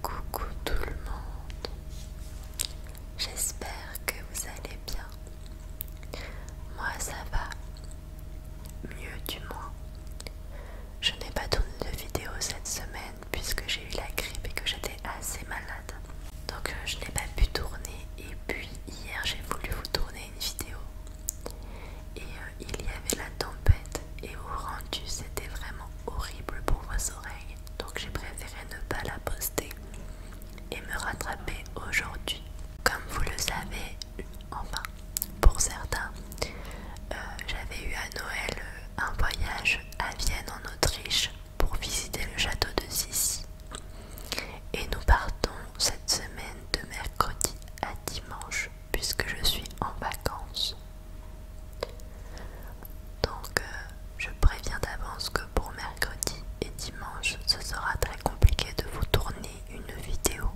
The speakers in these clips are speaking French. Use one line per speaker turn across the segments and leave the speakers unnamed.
Coucou tout le monde, j'espère que vous allez bien. Moi ça va, mieux du moins. Je n'ai pas tourné de vidéo cette semaine puisque j'ai eu la grippe et que j'étais assez malade. Donc euh, je n'ai pas pu tourner et puis hier j'ai voulu vous tourner une vidéo. Et il y avait la tempête et au rendu c'était vraiment horrible pour vos oreilles donc j'ai préféré ne pas la poster et me rattraper aujourd'hui. Comme vous le savez, enfin pour certains, euh, j'avais eu à Noël euh, un voyage à Vienne en Autriche pour visiter le château de Sissi. Et nous partons cette semaine de mercredi à dimanche puisque je suis en vacances. Donc euh, je préviens d'avance que pour mercredi et dimanche ce sera très compliqué de vous tourner une vidéo.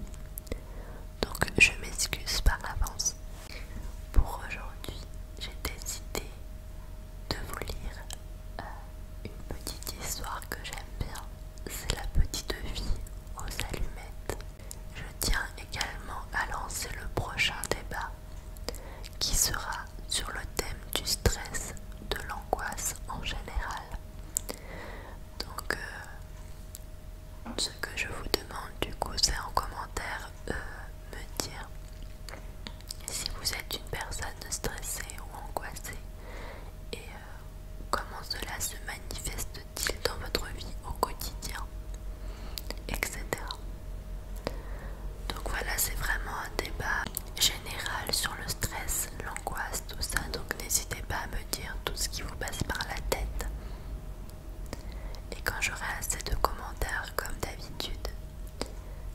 Donc je m'excuse par avance. Pour aujourd'hui j'ai décidé de vous lire euh, une petite histoire que j'aime bien. C'est la petite vie aux allumettes. Je tiens également à lancer le prochain débat qui sera sur le thème du stress, de l'angoisse en général. Donc euh, ce que je vous demande du coup c'est en commentaire euh, me dire si vous êtes une personne stressée ou angoissée et euh, comment cela se manifeste-t-il dans votre vie au quotidien etc. Donc voilà, c'est vraiment un débat général sur le stress, l'angoisse, tout ça. Donc n'hésitez pas à me dire tout ce qui vous passe par la tête. Et quand j'aurai assez de commentaires comme d'habitude,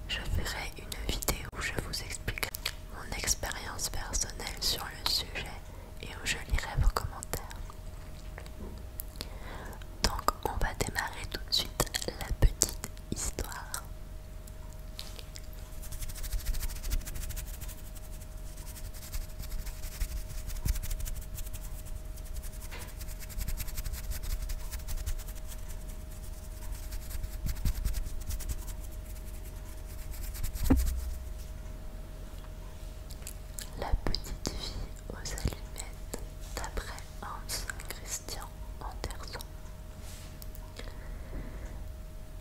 je ferai une vidéo où je vous expliquerai mon expérience personnelle sur le sujet et où je lirai vos commentaires. Donc on va démarrer tout de suite la petite histoire. La petite fille aux allumettes d'après Hans Christian Andersen.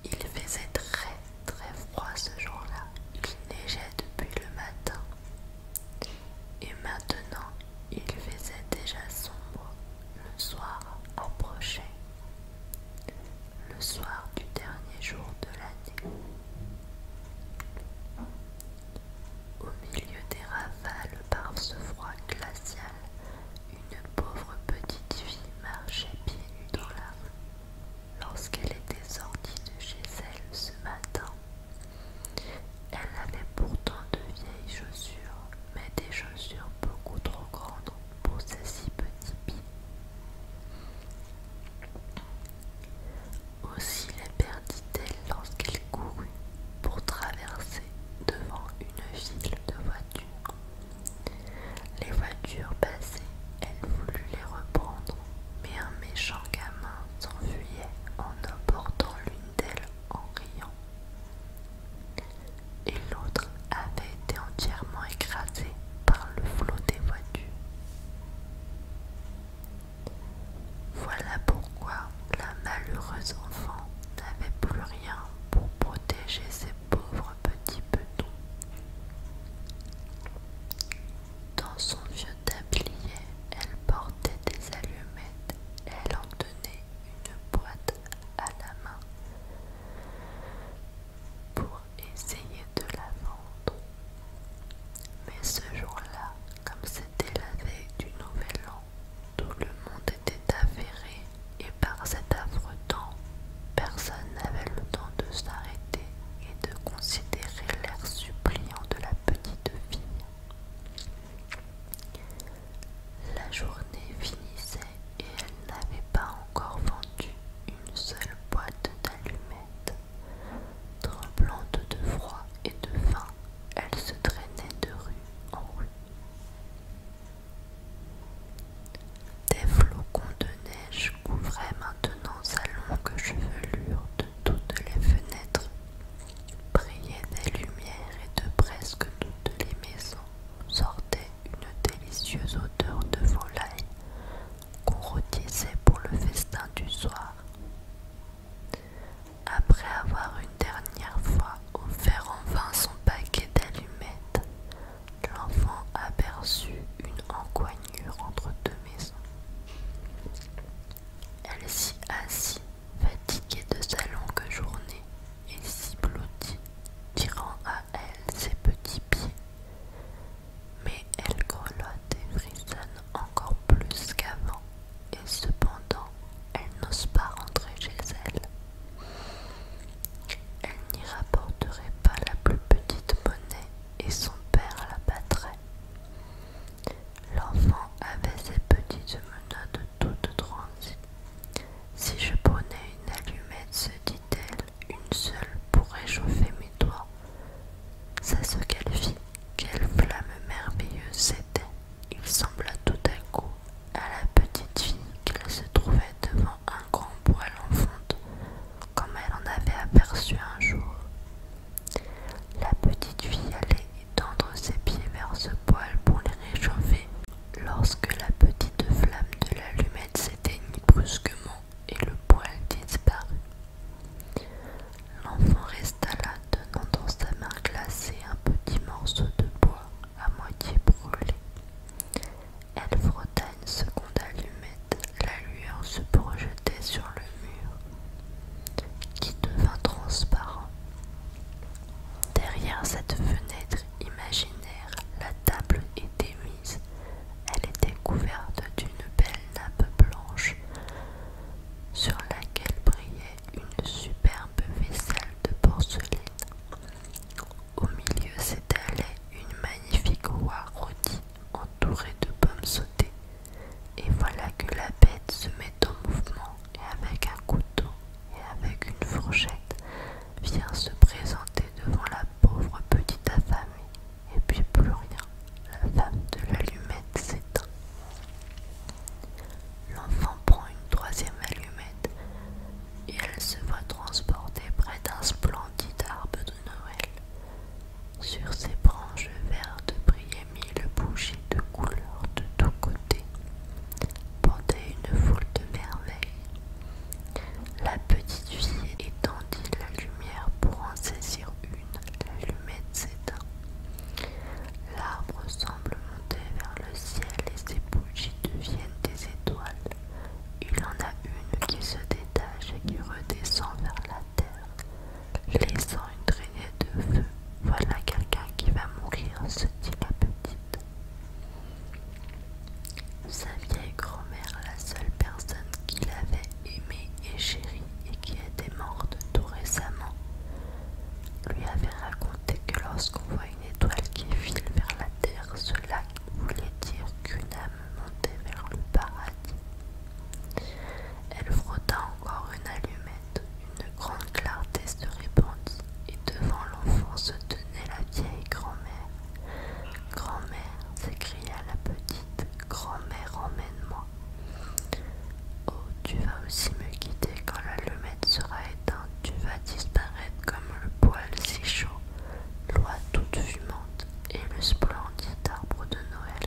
Il faisait très très froid ce jour-là, il neigeait depuis le matin. Et maintenant, il faisait déjà sombre, le soir prochain le soir du dernier jour de l'année. Au milieu des ravales par ce froid glacial, une pauvre petite fille marchait pieds nus dans la rue. Lorsqu'elle était sortie de chez elle ce matin, elle avait pourtant de vieilles chaussures, mais des chaussures beaucoup trop grandes pour ses si petits pieds. Aussi la perdit-elle lorsqu'elle courut pour traverser devant une file de voitures. Les voitures passées, elle voulut les reprendre, mais un méchant gamin s'enfuyait en emportant l'une d'elles en riant. Et l'autre avait été entièrement écrasée par le flot des voitures. Voilà pourquoi la malheureuse enfant n'avait plus rien pour protéger ses pauvres petits petons. Dans son vieux tablier, elle portait des allumettes elle en tenait une boîte à la main pour essayer de la vendre. Mais ce jour-là, comme c'était la veille du nouvel an, tout le monde était affairé et par cet affreux temps, personne n'avait le temps de s'arrêter et de considérer l'air suppliant de la petite fille. La journée finissait et elle n'avait pas encore vendu une seule boîte d'allumettes. Tremblante de froid et de faim, elle se traînait de rue en rue. Des flocons de neige couvraient maintenant sa longue chevelure de toutes les fenêtres, brillaient des lumières et de presque toutes les maisons sortait une délicieuse odeur de volaille qu'on rôtissait pour le festin du soir. Après avoir une dernière fois offert en vain son paquet d'allumettes, l'enfant aperçut une encoignure entre deux maisons. Elle s'y assit, fatiguée de sa longue journée, et s'y blottit, tirant à elle ses petits pieds. Mais elle grelotte et frissonne encore plus qu'avant et cependant elle n'ose pas rentrer chez elle. Elle n'y rapporterait pas la plus petite monnaie et son père la battrait. L'enfant avait ses petites menottes toutes transies. Si je prenais une allumette, se dit-elle, une seule pourrait chauffer mes doigts, c'est ce qu'elle fit, quelle flamme merveilleuse c'était. Il sembla tout à coup à la petite fille qu'elle se trouvait devant un grand poêle en fonte, comme elle en avait aperçu un jour. La petite fille allait étendre ses pieds vers ce poêle pour les réchauffer, lorsque la petite flamme de l'allumette s'éteignit brusquement et le poêle disparut. L'enfant resta là, tenant dans sa main glacée un petit morceau de bois à moitié brûlé. Elle frotta une seconde allumette, la lueur se projetait sur le mur, qui devint transparent. Derrière cette fenêtre imaginaire, la table était mise. Elle était couverte d'une belle nappe blanche sur laquelle brillait une superbe vaisselle de porcelaine. Au milieu s'étalait une magnifique oie rôtie entourée de pommes sautées. Et voilà que la bête se met en mouvement et avec un couteau et avec une fourchette vient se présenter devant la pauvre petite affamée. Et puis plus rien, la femme de l'allumette s'éteint. L'enfant prend une troisième allumette et elle se voit transporter près d'un splendide arbre de Noël. Sur ses branches vertes brillaient mille bougies de couleurs de tous côtés, porter une foule de merveilles. La petite fille étendit la lumière pour en saisir une, l'allumette L'arbre semble monter vers le ciel et ses bougies deviennent des étoiles. Il en a une qui se détache et qui redescend vers la terre, laissant une traînée de feu. Voilà quelqu'un qui va mourir, se dit la petite. Sa vieille grand-mère, la seule personne qu'il avait aimée et chérie et qui était morte tout récemment, lui avait raconté que lorsqu'on voit une étoile qui file vers la terre, cela voulait dire qu'une âme montait vers le paradis. Elle frotta encore une allumette, une grande clarté se répandit, et devant l'enfant se tenait la vieille grand-mère. Grand-mère, s'écria la petite, grand-mère, emmène-moi. Oh, tu vas aussi me quitter quand l'allumette sera éteinte, tu vas disparaître comme le poil si chaud, l'oie toute fumante et le splendide arbre de Noël.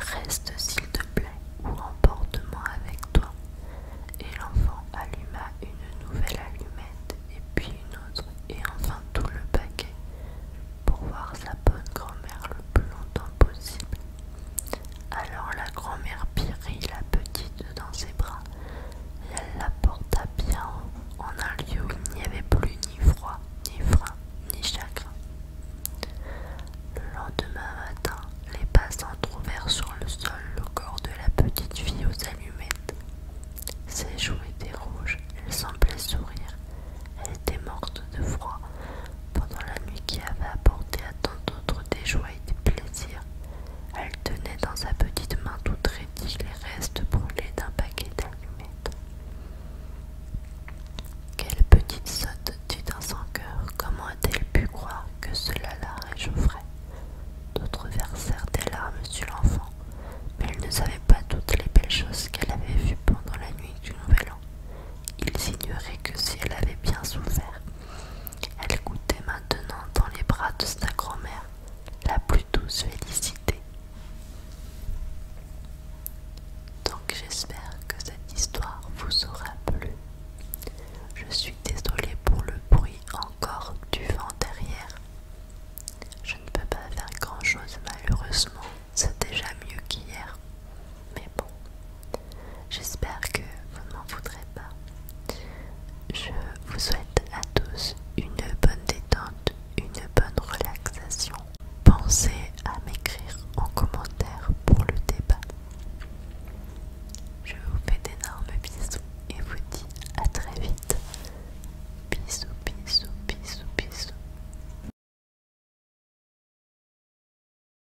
Reste s'il te plaît ou emporte-moi avec toi. Et l'enfant alluma une nouvelle allumette et puis une autre et enfin tout le paquet pour voir sa bonne grand-mère le plus longtemps possible Alors la grand-mère prit la petite dans ses bras et elle la porta bien en un lieu où il n'y avait plus ni froid, ni frein, ni chagrin. Le lendemain matin, les passants trouvèrent sur le sol le corps de la petite fille aux allumettes. Ses joues étaient rouges, elle semblait sourire. Elle était morte de froid, pendant la nuit qui avait apporté à tant d'autres des joies et des plaisirs. Elle tenait dans sa petite main toute raidie les restes brûlés d'un paquet d'allumettes. Quelle petite sotte, dit dans son cœur, comment a-t-elle pu croire que cela la réchaufferait D'autres versèrent des larmes sur l'enfant, mais elle ne savait pas toutes les belles choses qu'elle avait vues pendant la nuit du Nouvel An. Ils ignoraient que si elle avait bien souffert, elle goûtait maintenant dans les bras de sa grand-mère la plus douce félicité. Donc j'espère que cette histoire vous aura plu. Je suis désolée pour le bruit encore du vent derrière. Je ne peux pas faire grand-chose malheureusement, c'est déjà mieux qu'hier mais bon, j'espère que vous ne m'en voudrez pas. Je vous souhaite à tous une bonne détente, une bonne relaxation. Pensez à m'écrire en commentaire pour le débat. Je vous fais d'énormes bisous et vous dis à très vite. Bisous, bisous, bisous, bisous.